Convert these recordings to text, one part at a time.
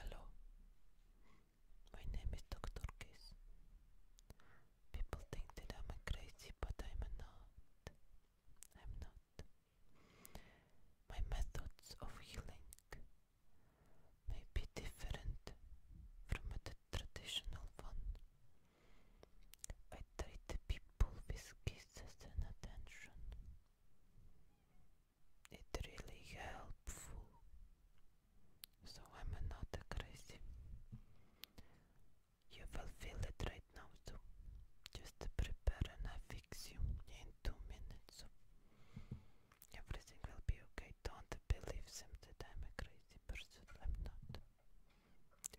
Hello, my name is Dr. Kiss. People think that I'm crazy, but I'm not. I'm not. My methods of healing may be different from a traditional one. I treat people with kisses and attention. It's really helpful. So I'm not crazy. You will feel it right now, so just prepare and I fix you in two minutes. Everything will be okay. Don't believe them that I'm a crazy person. I'm not.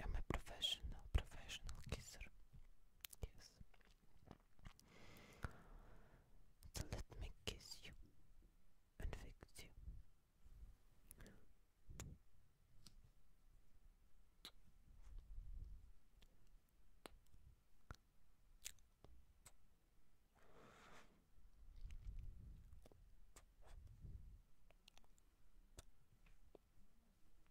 I'm a professional, professional kisser. Yes. So let me kiss you and fix you.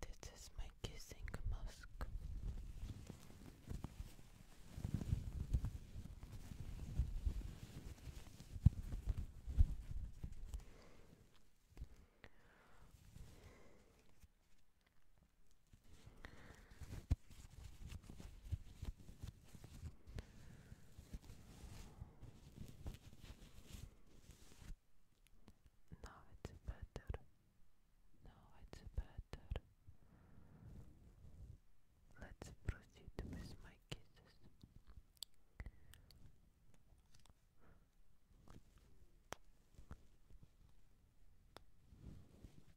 This is my kissing mask. Now it's better. Now it's better. Let's proceed with my kisses.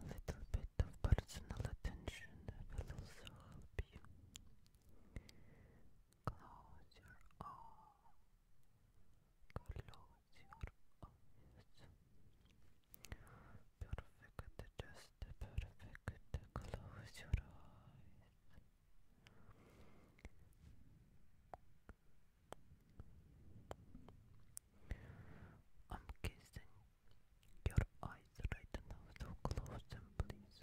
A little bit of personal attention will also help Close your eyes. Close your eyes. Perfect, just perfect. Close your eyes. I'm kissing your eyes right now, so close them, please.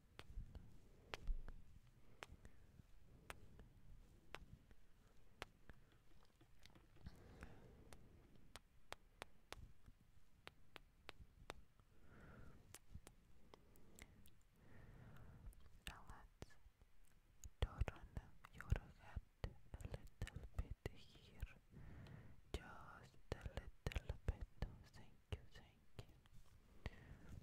let's turn your head a little bit here, just a little bit. Thank you, thank you.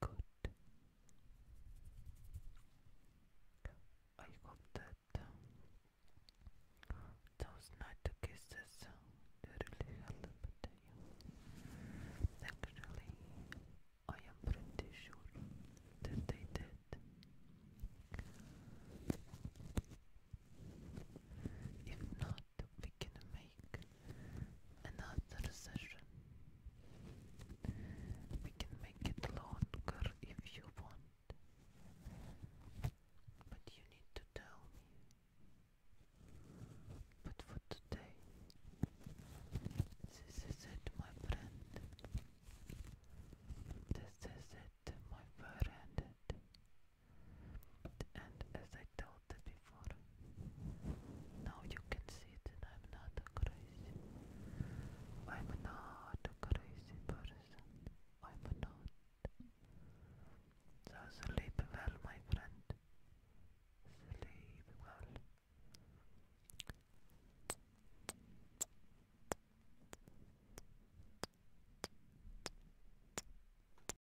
Good. I hope that um, those night kisses they really you. Actually, I am pretty sure that they did. If not, we can make and session, we can make it longer if you want, but you need to tell me. But for today, this is it, my friend. This is it, my friend. And as I told you before, now you can see that I'm not a crazy. I'm not a crazy person. I'm not. So sleep well, my friend. Sleep well.